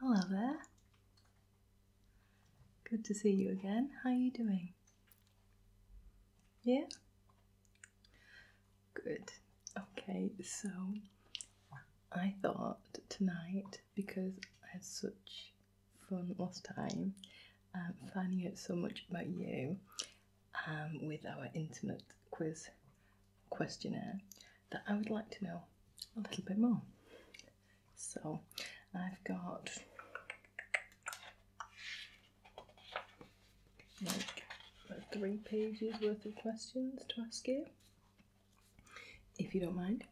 Hello there. Good to see you again. How are you doing? Yeah? Good. Okay, so I thought tonight because I had such fun last time um, finding out so much about you um, with our intimate quiz questionnaire that I would like to know a little bit more. So I've got like three pages worth of questions to ask you if you don't mind,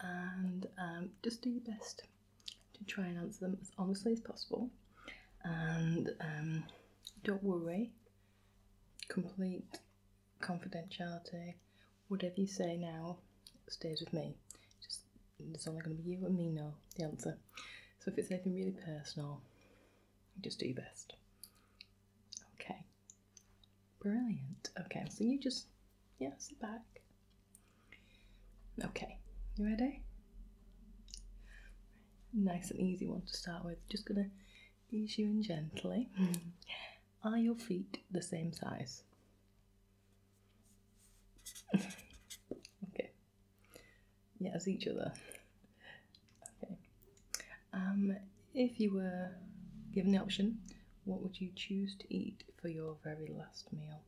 and um, just do your best to try and answer them as honestly as possible. And um, don't worry, complete confidentiality. Whatever you say now stays with me. Just there's only going to be you and me know the answer. So if it's anything really personal, just do your best. Okay. Brilliant. Okay, so you just yeah, sit back, Okay, you ready? Nice and easy one to start with. Just gonna ease you in gently. Are your feet the same size? okay. Yeah, as each other. Okay. Um, if you were given the option, what would you choose to eat for your very last meal?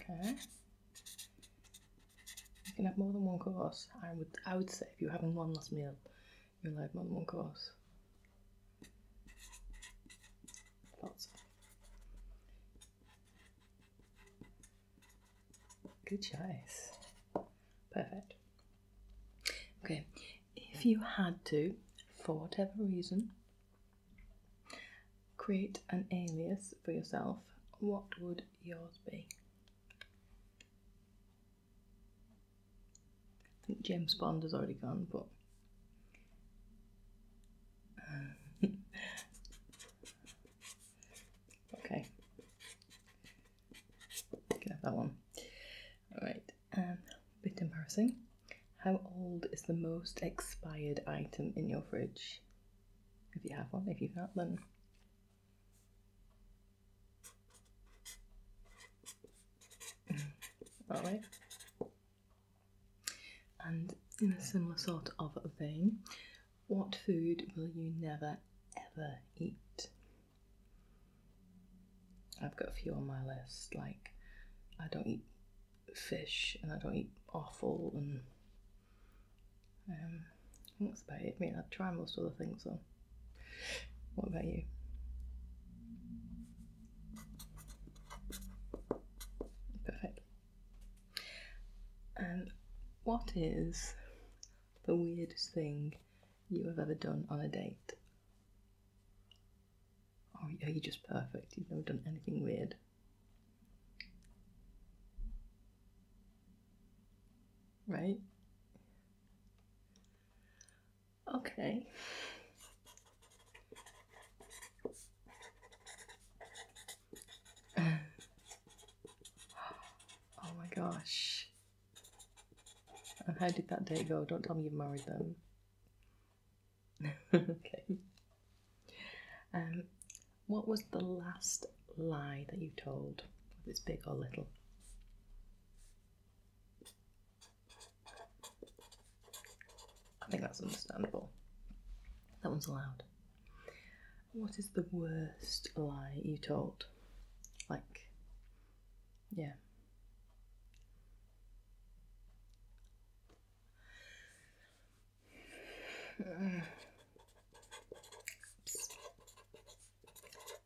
Okay. You can have more than one course. I would say if you're having one last meal, you'll have more than one course. Lots. Good choice. Perfect. Okay, if you had to, for whatever reason, create an alias for yourself, what would yours be? James Bond has already gone, but. Uh, Okay. Get that one. Alright, um, bit embarrassing. How old is the most expired item in your fridge? If you have one, if you've not, then. Mm, Alright. And in a similar sort of vein, what food will you never ever eat? I've got a few on my list, like I don't eat fish and I don't eat offal, and um, I that's about it. I mean, I try most other things though. What about you? Perfect. And what is the weirdest thing you have ever done on a date? Or are you just perfect? You've never done anything weird. Right? Okay. Oh my gosh. how did that day go? Don't tell me you married them. okay. Um, what was the last lie that you told? Whether it's big or little. I think that's understandable. That one's allowed. What is the worst lie you told? Like, yeah.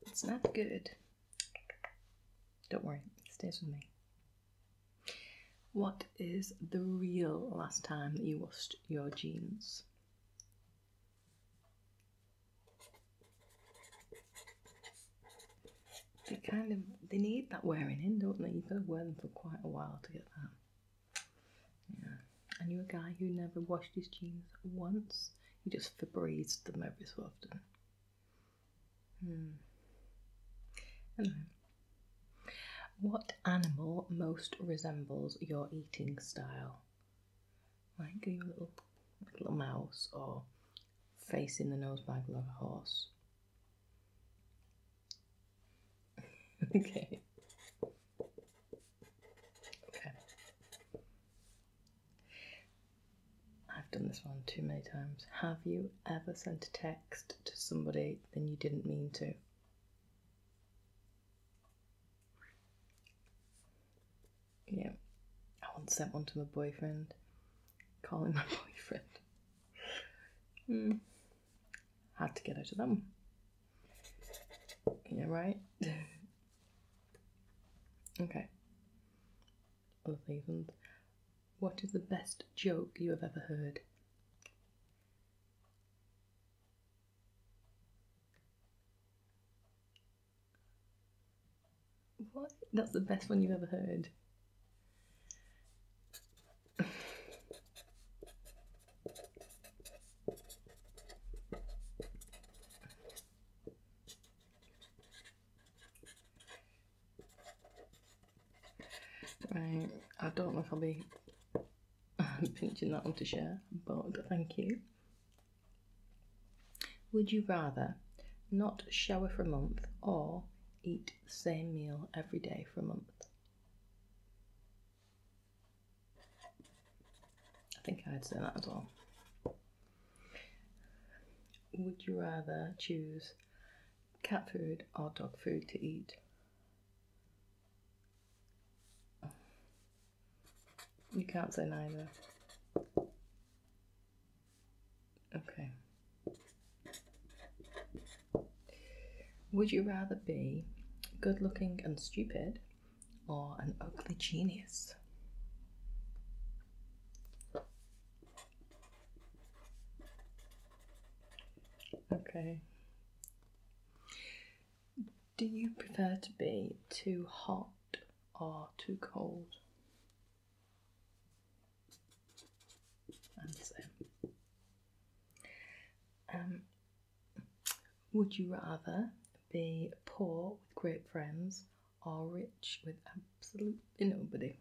It's not good. Don't worry, it stays with me. What is the real last time that you washed your jeans? They kind of they need that wearing in, don't they? You've got to wear them for quite a while to get that. Yeah. And you a guy who never washed his jeans once. He just Febreze them every so often. Hmm. Anyway. What animal most resembles your eating style? Like a little little mouse or facing the nose bag like a horse. okay. Okay. I've done this one too many times. Have you ever sent a text to somebody then you didn't mean to? Yeah. I once sent one to my boyfriend. Calling my boyfriend. Hmm. Had to get out of them. Yeah, right? okay. Lovely ones. What is the best joke you have ever heard? What? That's the best one you've ever heard. I don't know if I'll be I'm pinching that one to share, but thank you. Would you rather not shower for a month or eat the same meal every day for a month? I think I'd say that as well. Would you rather choose cat food or dog food to eat? You can't say neither. Okay. Would you rather be good looking and stupid or an ugly genius? Okay. Do you prefer to be too hot or too cold? Answer. Um, would you rather be poor with great friends or rich with absolutely nobody?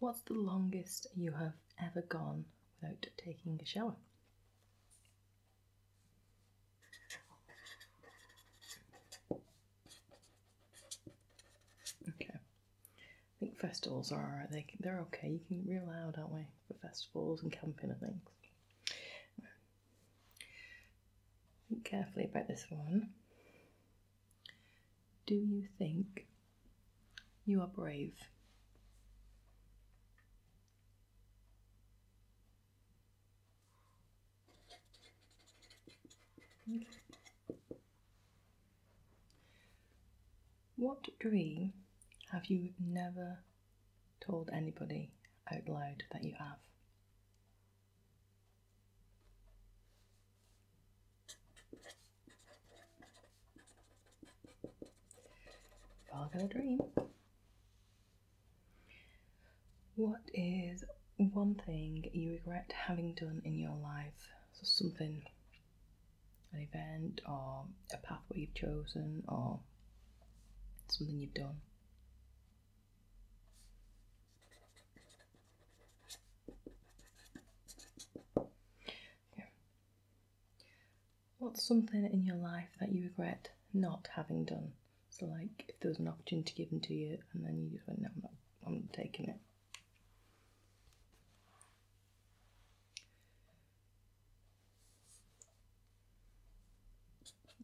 What's the longest you have ever gone without taking a shower? Okay. I think festivals are alright. They they're okay. You can be real loud, aren't we, for festivals and camping and things. Think carefully about this one. Do you think you are brave? What dream have you never told anybody out loud that you have? We all got a dream. What is one thing you regret having done in your life? So something, an event or a pathway you've chosen or something you've done. What's something in your life that you regret not having done? So, like, if there was an opportunity given to you and then you just went, no, I'm not, I'm not taking it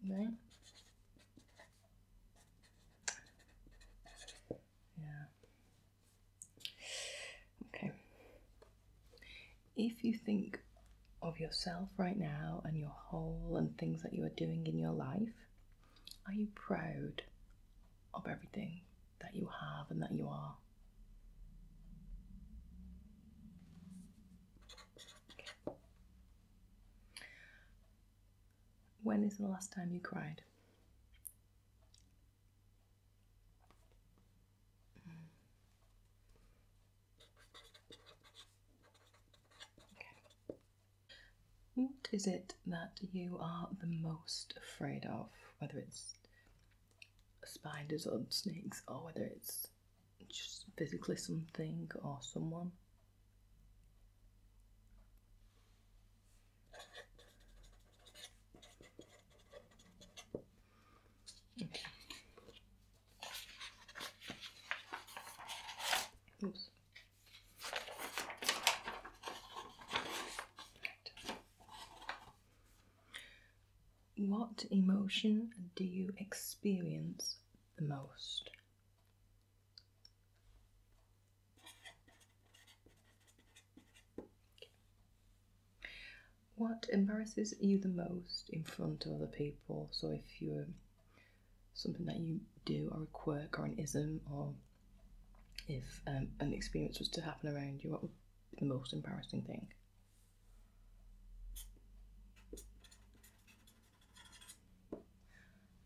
right? Yeah. Okay. If you think of yourself right now and your whole and things that you are doing in your life, are you proud of everything that you have and that you are? When is the last time you cried? What is it that you are the most afraid of? Whether it's spiders or snakes, or whether it's just physically something or someone? What emotion do you experience the most? What embarrasses you the most in front of other people? So if you're something that you do, or a quirk, or an ism, or if um, an experience was to happen around you, what would be the most embarrassing thing?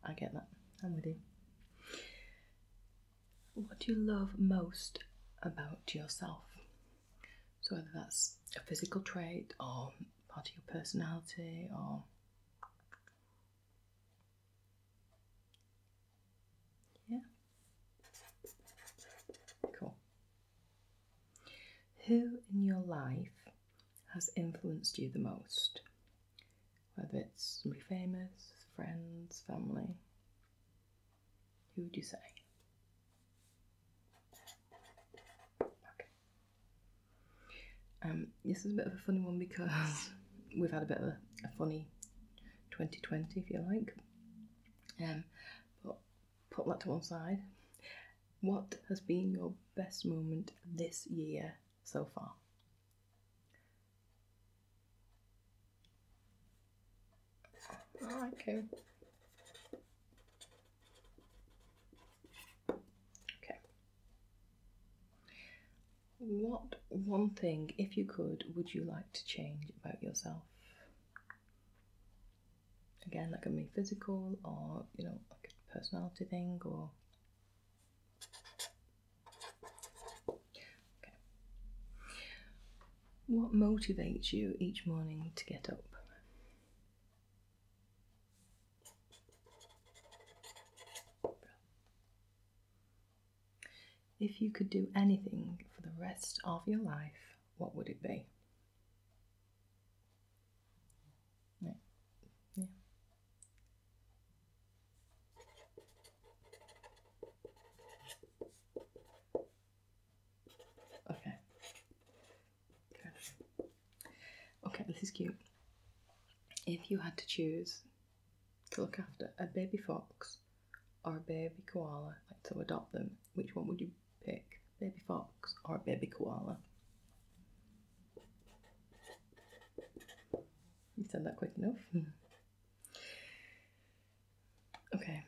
I get that. I'm with you. What do you love most about yourself? So, whether that's a physical trait or part of your personality or yeah cool who in your life has influenced you the most whether it's somebody famous, friends, family. Who would you say? Um, this is a bit of a funny one because we've had a bit of a, a funny 2020, if you like. Um, but put that to one side. What has been your best moment this year so far? Oh, All right, Okay. What one thing, if you could, would you like to change about yourself? Again, like a be physical or, you know, a personality thing or what motivates you each morning to get up? If you could do anything for the rest of your life, what would it be? Yeah. Okay. Okay, this is cute. If you had to choose to look after a baby fox or a baby koala, like to adopt them, which one would you pick? Baby fox or a baby koala? You said that quick enough. okay.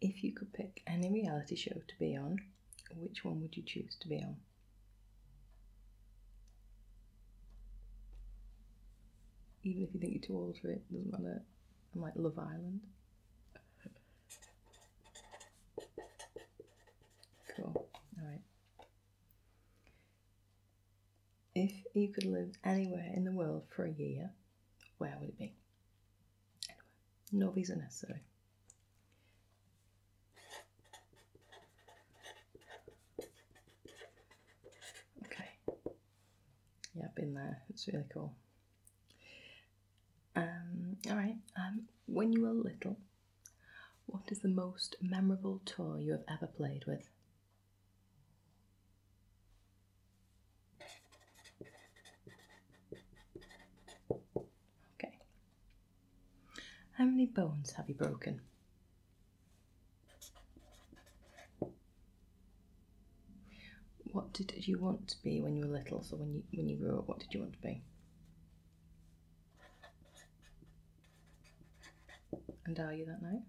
If you could pick any reality show to be on, which one would you choose to be on? Even if you think you're too old for it, doesn't matter. I like Love Island. Cool. All right. If you could live anywhere in the world for a year, where would it be? No visa necessary. Okay. Yeah, I've been there. It's really cool. Um, all right. Um, when you were little, what is the most memorable tour you have ever played with? Okay. How many bones have you broken? What did you want to be when you were little? So when you when you grew up, what did you want to be? And are you that now?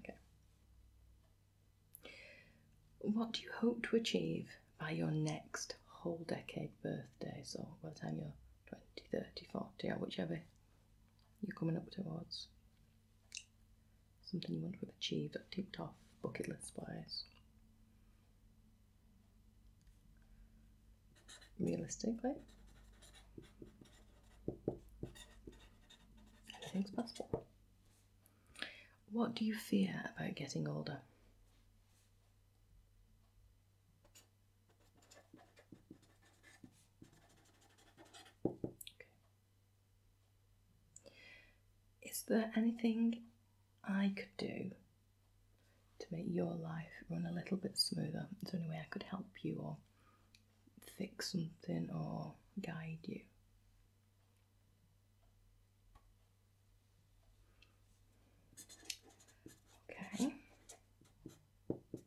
Okay. What do you hope to achieve by your next whole decade birthday? So by the time you're 20, 30, 40, whichever you're coming up towards. Something you want to have achieved or ticked off bucket list wise realistically. Anything's possible. What do you fear about getting older? Is there anything I could do to make your life run a little bit smoother. Is there any way I could help you or fix something or guide you? Okay.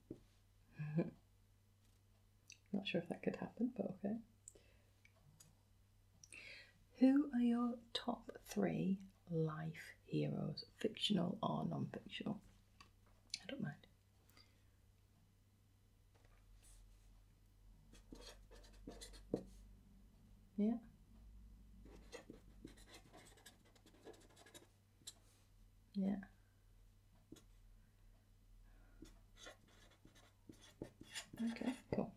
Not sure if that could happen, but okay. Who are your top three life heroes, fictional or non fictional? I don't mind. Yeah. Yeah. Okay, cool.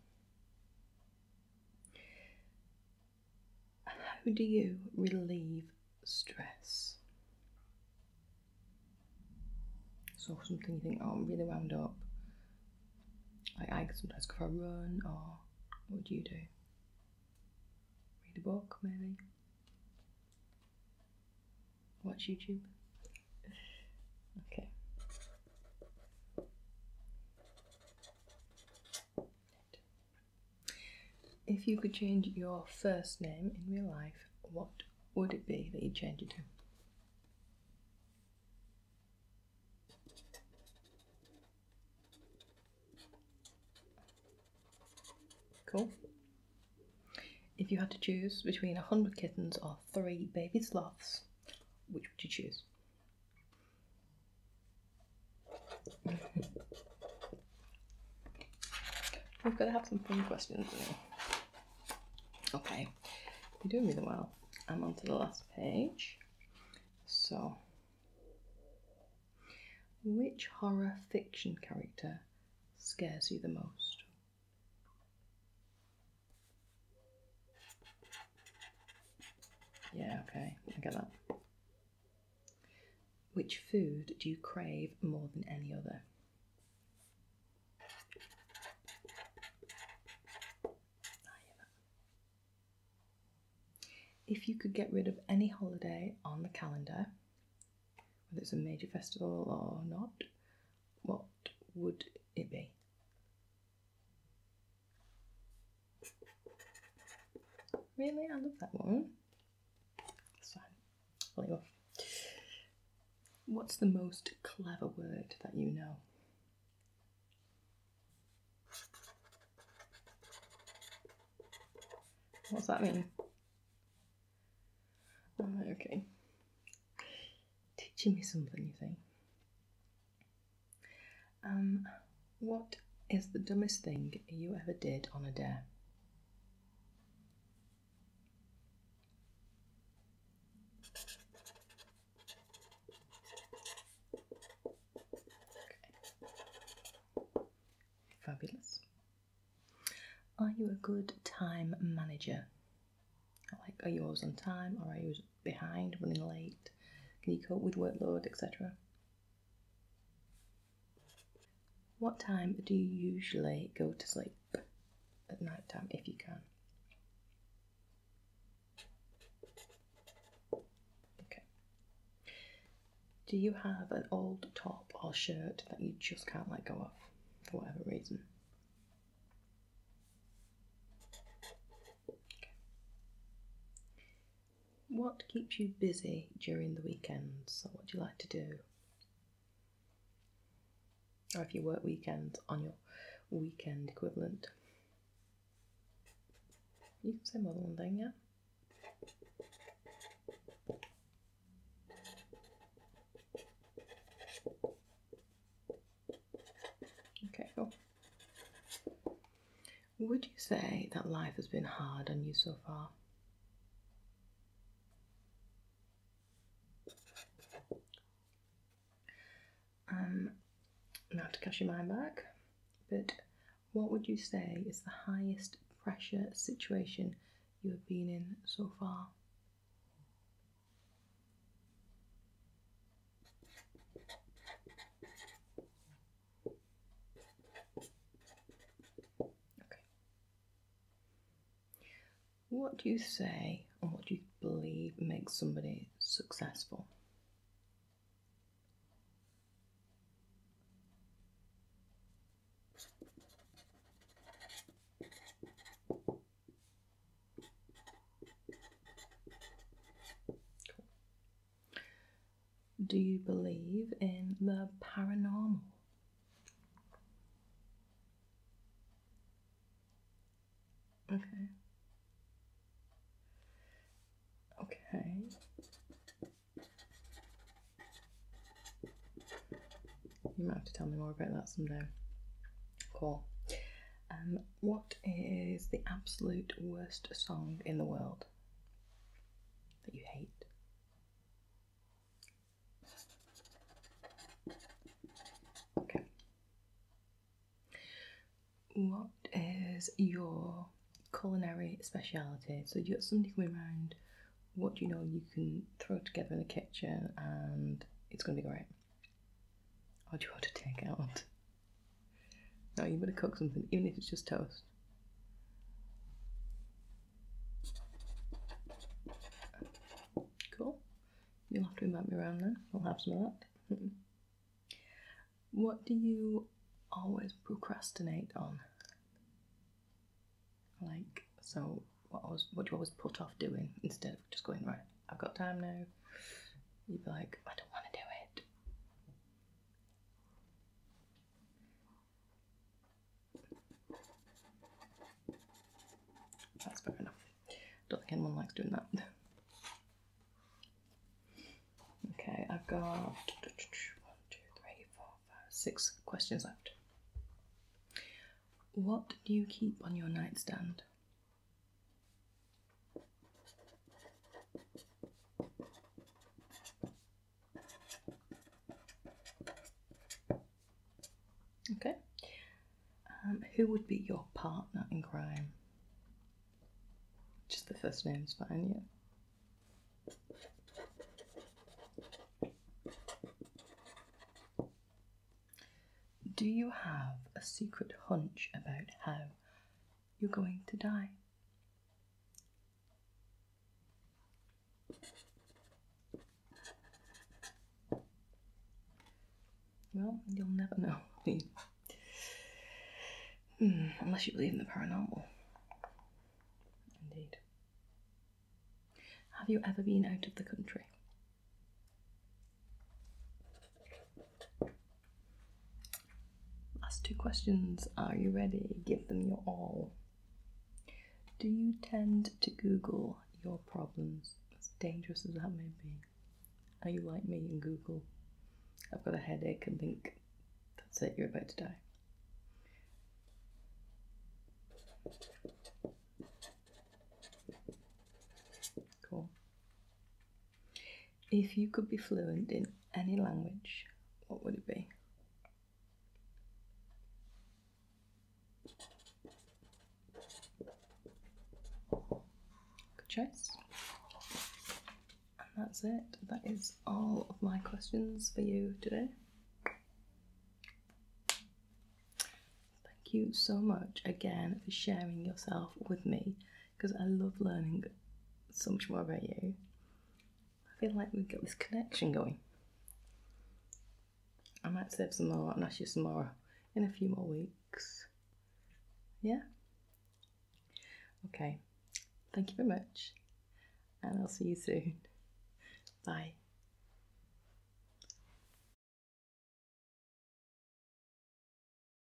How do you relieve stress? So something you think, oh, I'm really wound up. I sometimes go for a run, or what do you do? Read a book, maybe. Watch YouTube. Okay. If you could change your first name in real life, what would it be that you'd change it to? Cool. If you had to choose between 100 kittens or 3 baby sloths, which would you choose? We've got to have some fun questions now. Okay, you're doing really well. I'm on to the last page. So, which horror fiction character scares you the most? Yeah, okay, I get that. Which food do you crave more than any other? If you could get rid of any holiday on the calendar, whether it's a major festival or not, what would it be? Really? I love that one. That's fine. What's the most clever word that you know? What's that mean? okay. Teaching me something, you say. Um, what is the dumbest thing you ever did on a dare? Fabulous. Are you a good time manager? Like, are yours on time or are you behind, running late? Can you cope with workload, etc.? What time do you usually go to sleep at night time if you can? Okay. Do you have an old top or shirt that you just can't let go of for whatever reason? What keeps you busy during the weekends, or what do you like to do? Or if you work weekends on your weekend equivalent? You can say more than that, yeah? Okay, cool. Would you say that life has been hard on you so far? Um, now to catch your mind back, but what would you say is the highest pressure situation you have been in so far? Okay. What do you say and what do you believe makes somebody successful? Do you believe in the paranormal? Okay. Okay. You might have to tell me more about that someday. Cool. Um, what is the absolute worst song in the world that you hate? Okay. What is your culinary speciality? So you got something coming around, what you know you can throw together in the kitchen and it's gonna be great? Or do you want to take out? No, you better cook something, even if it's just toast. Cool. You'll have to invite me around then. we will have some of that. what do you always procrastinate on? Like, so what, was, what do you always put off doing instead of just going, right, I've got time now? You'd be like, I don't want to do it. That's fair enough. Don't think anyone likes doing that. Okay, I've got six questions left. What do you keep on your nightstand? Okay. Um, who would be your partner in crime? Just the first name's fine, yeah. Do you have a secret hunch about how you're going to die. Well, you'll never know. Hmm, unless you believe in the paranormal. Indeed. Have you ever been out of the country? Last two questions. Are you ready? Give them your all. Do you tend to Google your problems? As dangerous as that may be. Are you like me and Google? I've got a headache and think, that's it, you're about to die. Cool. If you could be fluent in any language, what would it be? Good choice. And that's it. That is all of my questions for you today. Thank you so much again for sharing yourself with me because I love learning so much more about you. I feel like we've got this connection going. I might save some more and ask you some more in a few more weeks. Yeah? Okay. Thank you very much, and I'll see you soon. Bye.